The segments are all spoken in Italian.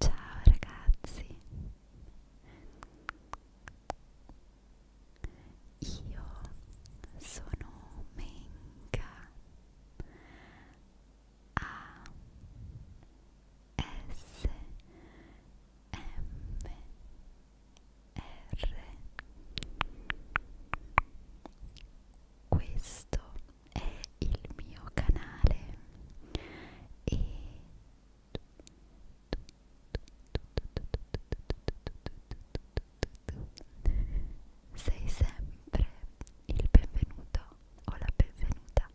Ciao ragazzi, io sono Menka a S M R questo è il mio canale e sei sempre il benvenuto o la benvenuta.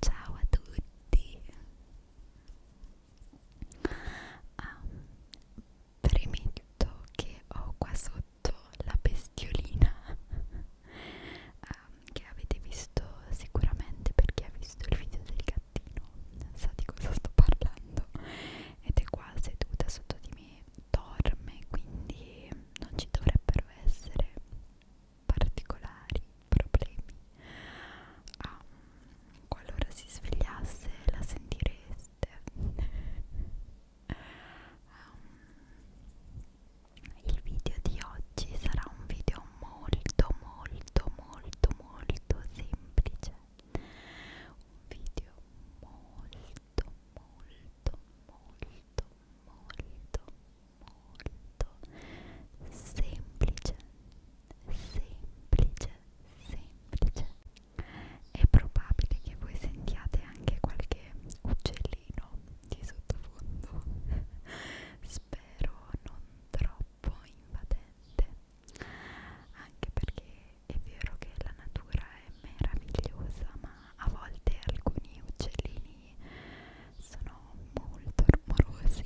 Ciao a tutti! Ah, premetto che ho qua sotto la bestiolina ah, che avete visto sicuramente perché ha visto il video del gattino sa di cosa sto parlando ed è qua seduta sotto di me dorme, quindi non ci dovrebbero essere particolari problemi. Ah, qualora si svegliasse la sentireste. um, il video di oggi sarà un video molto molto molto molto semplice un video molto molto, molto, molto, molto, molto semplice, semplice, semplice. È probabile che voi sentiate anche qualche uccellino di sottofondo. Spero non troppo invadente anche perché è vero che la natura è meravigliosa, ma a volte alcuni uccellini sono molto rumorosi.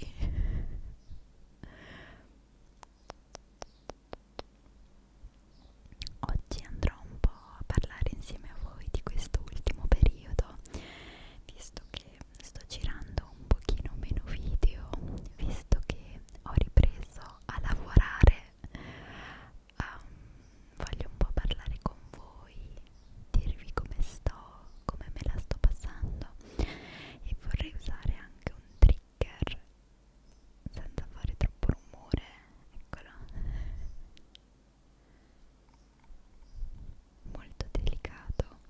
Oggi andrò un po' a parlare insieme a voi di questo ultimo periodo, visto che sto girando un pochino meno video, visto che ho ripreso a lavorare um, voglio un po' parlare con voi, dirvi come sto, come me la sto passando e vorrei usare anche un trigger senza fare troppo rumore, eccolo molto delicato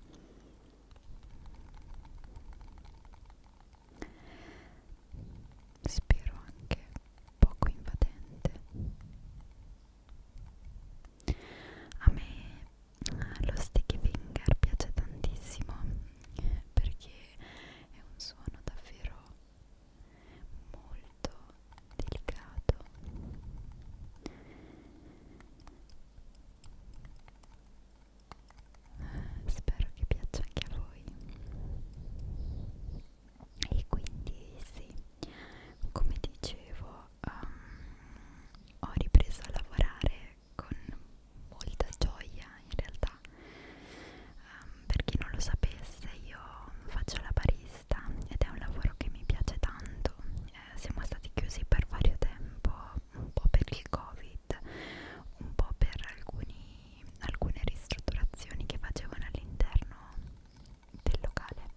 spero anche poco invadente a me eh, lo sticky finger piace tantissimo perché è un suono davvero molto delicato spero che piaccia anche a voi e quindi sì come dicevo um, ho ripreso a lavorare con molta gioia in realtà um, per chi non lo sapesse io faccio la barista ed è un lavoro che mi piace tanto eh, siamo stati chiusi per vario tempo un po' per il covid, un po' per alcuni, alcune ristrutturazioni che facevano all'interno del locale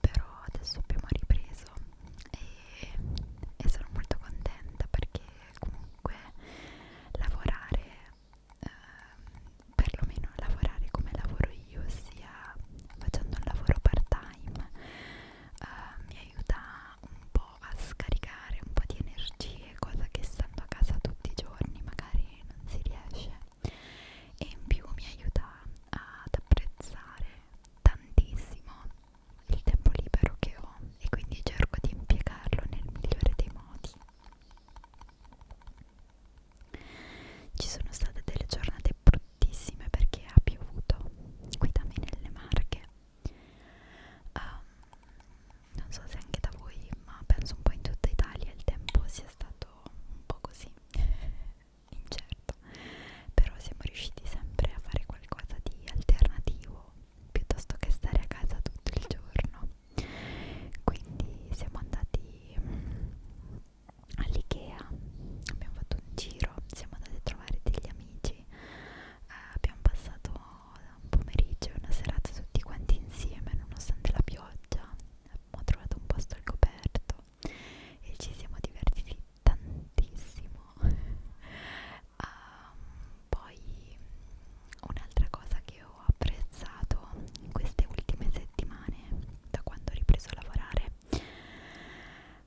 però adesso abbiamo ripreso e, e sono molto contenta perché comunque lavorare eh, perlomeno lavorare come lavoro io ossia facendo un lavoro part time eh, mi aiuta un po' a scaricare un po' di energie, cosa che stando a casa tutti i giorni magari non si riesce e in più mi aiuta ad apprezzare tantissimo il tempo libero che ho e quindi cerco di impiegarlo nel migliore dei modi. Ci sono state delle giornate bruttissime perché ha piovuto qui da me nelle Marche Um, non so se anche da voi, ma penso un po' in tutta Italia il tempo sia stato un po' così incerto, però siamo riusciti sempre a fare qualcosa di alternativo piuttosto che stare a casa tutto il giorno. Quindi siamo andati all'IKEA, abbiamo fatto un giro, siamo andati a trovare degli amici eh, abbiamo passato un pomeriggio e una serata tutti quanti insieme nonostante la pioggia abbiamo trovato un posto al coperto e ci siamo divertiti tantissimo um, poi un'altra cosa che ho apprezzato in queste ultime settimane da quando ho ripreso a lavorare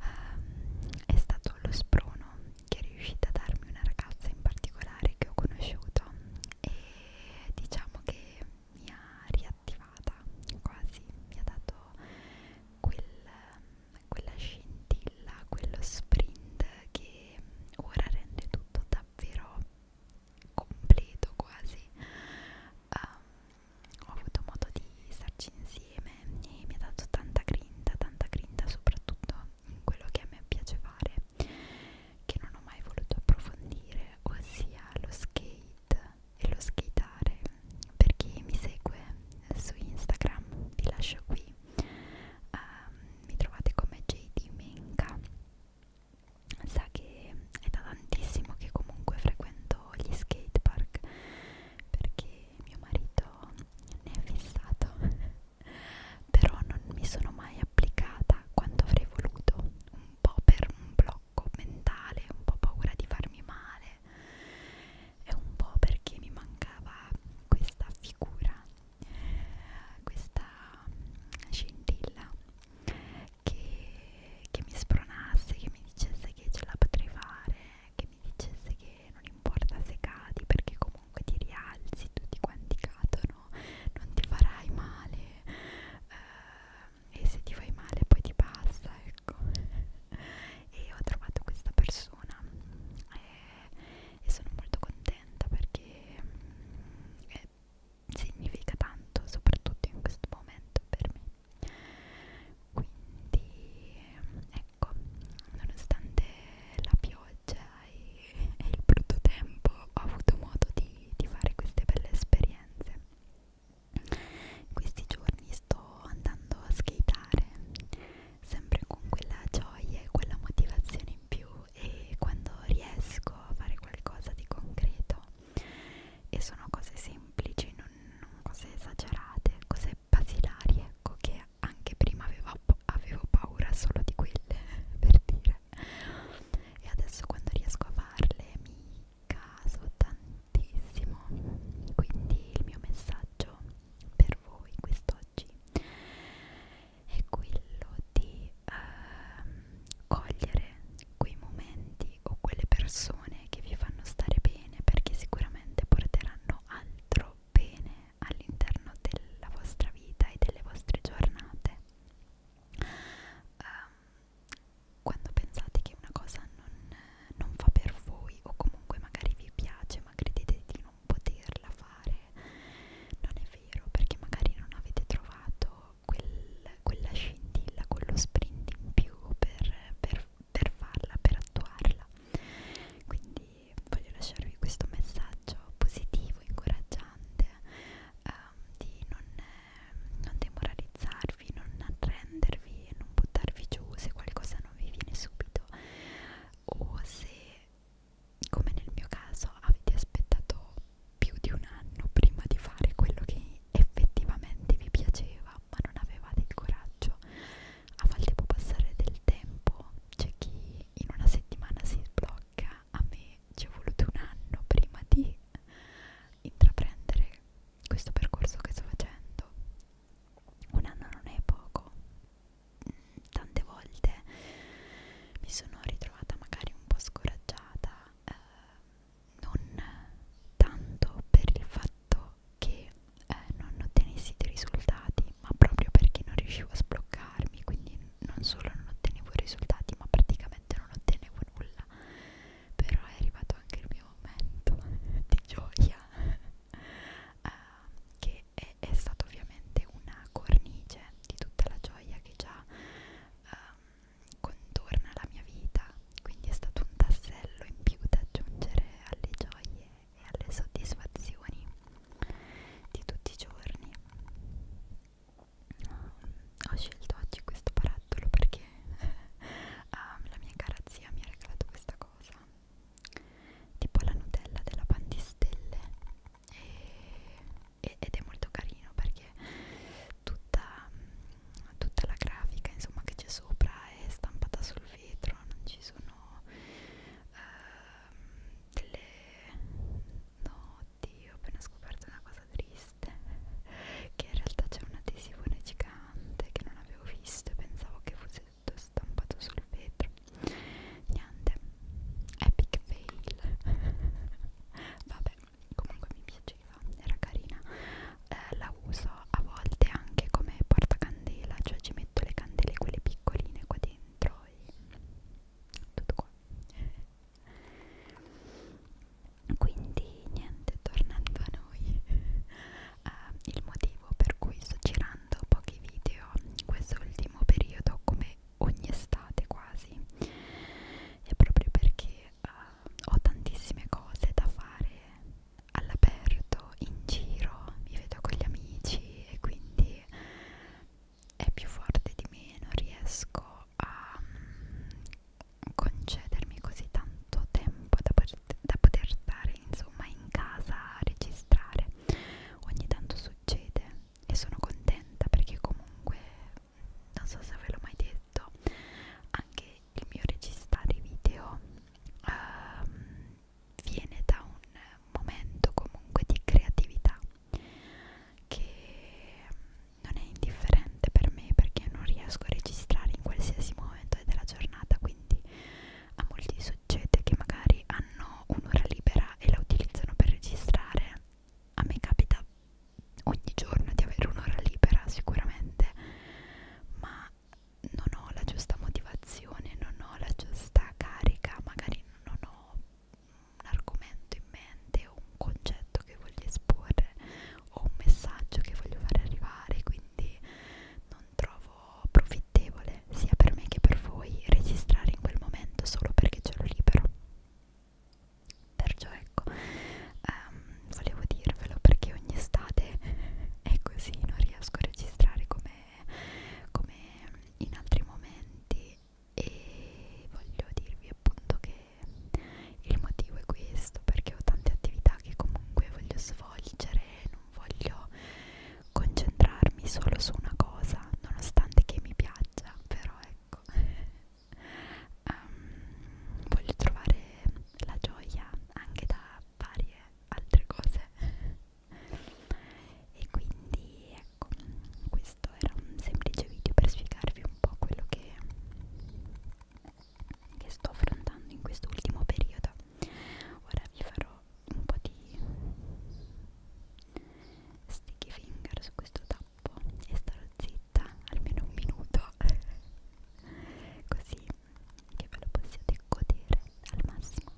um, è stato lo sprono che è riuscita a darmi una ragazza in particolare che ho conosciuto e diciamo che mi ha riattivata quasi, mi ha dato quel, quella scintilla, quello sprint che ora rende tutto davvero completo quasi. Um, ho avuto modo di starci insieme insieme e mi ha dato tanta grinta, tanta grinta soprattutto in quello che a me piace fare, che non ho mai voluto approfondire, ossia lo skate e lo skateare. Per chi mi segue su Instagram vi lascio qui, um, mi trovate come JD Menka. Sa che è da tantissimo che comunque frequento gli skate park perché mio marito ne è fissato però non mi sono mai applicata quanto avrei voluto un po' per un blocco mentale un po' paura di farmi male e un po' perché mi mancava questa figura questa scintilla che, che mi spronasse che mi dicesse che ce la potrei fare che mi dicesse che non importa se cadi perché comunque ti rialzi, tutti quanti cadono, non ti farai male eh, e se ti fai male poi ti passa, ecco. e ho trovato questa persona e, eh, e sono molto contenta perché mm, eh, significa tanto, soprattutto in questo momento per me. Quindi ecco, nonostante la pioggia e, e il brutto tempo ho avuto modo di, di fare queste belle esperienze. In questi giorni sto andando a skateare, sempre con quella gioia e quella motivazione in più e quando riesco a fare qualcosa di concreto e sono cose semplici, non, non cose esagerate, cose basilari, ecco che anche prima avevo, avevo paura solo di quelle, per dire. E adesso quando riesco a farle mi caso tantissimo. Quindi il mio messaggio per voi quest'oggi è quello di ehm, cogliere quei momenti o quelle persone che vi fanno stare bene perché sicuramente porteranno fanno altro bene all'interno della vostra vita e delle vostre giornate. Um, quando pensate che una cosa non, non fa per voi o comunque magari vi piace ma credete di non poterla fare, non è vero perché magari non avete trovato quel, quella scintilla, quello sprint in più per, per per farla, per attuarla. Quindi voglio lasciarvi questo messaggio positivo, incoraggiante, ehm, di non, eh, non demoralizzarvi, non arrendervi, non buttarvi giù se qualcosa non vi viene subito o se, come nel mio caso, avete aspettato più di un anno prima di fare quello che effettivamente vi piaceva ma non avevate il coraggio a volte può passare del tempo, c'è chi in una settimana si sblocca, a me ci è voluto un anno prima di intraprendere questo percorso che sto facendo. Un anno non è poco. Tante volte mi sono ritrovata magari un po' scoraggiata, eh, non tanto per il fatto che eh, non ottenessi dei risultati, ma proprio perché non riuscivo a sbloccarmi, quindi non solo non ottenevo risultati, ma praticamente non ottenevo nulla. Però è arrivato anche il mio momento di gioia, uh, che è, è stato ovviamente una cornice di tutta la gioia che già um, contorna la mia vita quindi è stato un tassello in più da aggiungere alle gioie e alle soddisfazioni di tutti i giorni. Ho scelto oggi questo barattolo perché ah, la mia cara zia mi ha regalato questa cosa, tipo la Nutella della Pandistelle, e, ed è molto carino perché tutta tutta la grafica insomma che c'è sopra è stampata sul vetro non ci sono uh, delle no oddio ho appena scoperto una cosa triste che in realtà c'è un adesione gigante che non avevo visto e pensavo che fosse tutto stampato sul vetro niente epic fail vabbè comunque mi piace piaceva, era carina eh, la uso a volte anche come portacandela cioè ci metto le candele quelle piccoline qua dentro e tutto qua quindi niente tornando a noi uh, il motivo per cui sto girando pochi video in questo ultimo periodo come ogni estate quasi è proprio perché uh, ho tantissime cose da fare all'aperto, in giro, mi vedo con gli amici e quindi è più forte di me, non riesco a mm, concedermi così tanto tempo da, da poter stare insomma in casa a registrare. Ogni tanto succede e sono contenta perché comunque non so se ve l'ho mai detto anche il mio registrare video um, viene da un momento comunque di creatività che non è indifferente per me perché non riesco a registrare in qualsiasi momento della giornata quindi a molti succede che magari hanno un'ora libera e la utilizzano per registrare a me capita ogni giorno di avere un'ora libera sicuramente, ma non ho la giusta motivazione, non ho la giusta carica, magari non ho un argomento in mente o un concetto che voglio esporre o un messaggio che voglio far arrivare, quindi non trovo profittevole sia per me che per voi registrare in quel momento solo perché ce l'ho libero perciò ecco um, volevo dirvelo perché ogni estate è così non riesco a registrare come, come in altri momenti e voglio dirvi appunto che il motivo è questo perché ho tante attività che comunque voglio svolgere non voglio concentrarmi solo su una cosa nonostante che mi piaccia però ecco um, voglio trovare la gioia anche da varie altre cose e quindi ecco questo era un semplice video per spiegarvi un po' quello che, che sto affrontando in questo ultimo periodo ora vi farò un po' di sticky finger su questo tappo e starò zitta diretta almeno un minuto così che ve lo possiate godere al massimo Ecco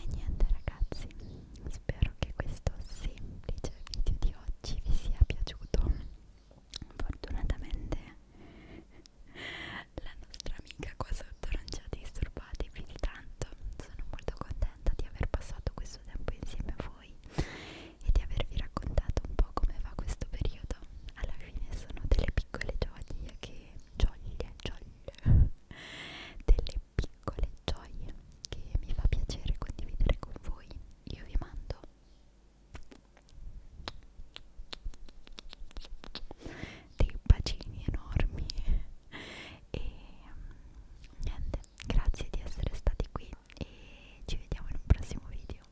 E niente ragazzi, spero spero che questo semplice video di oggi vi sia piaciuto fortunatamente la nostra amica qua sotto non ci ha disturbati più di tanto sono molto contenta di aver passato questo tempo insieme a voi e di avervi raccontato un po' come va questo periodo alla fine sono delle piccole gioie che gioie, gioie delle piccole gioie che mi fa piacere condividere con voi io vi mando dei bacini enormi e mm, niente grazie di essere stati qui e ci vediamo in un prossimo video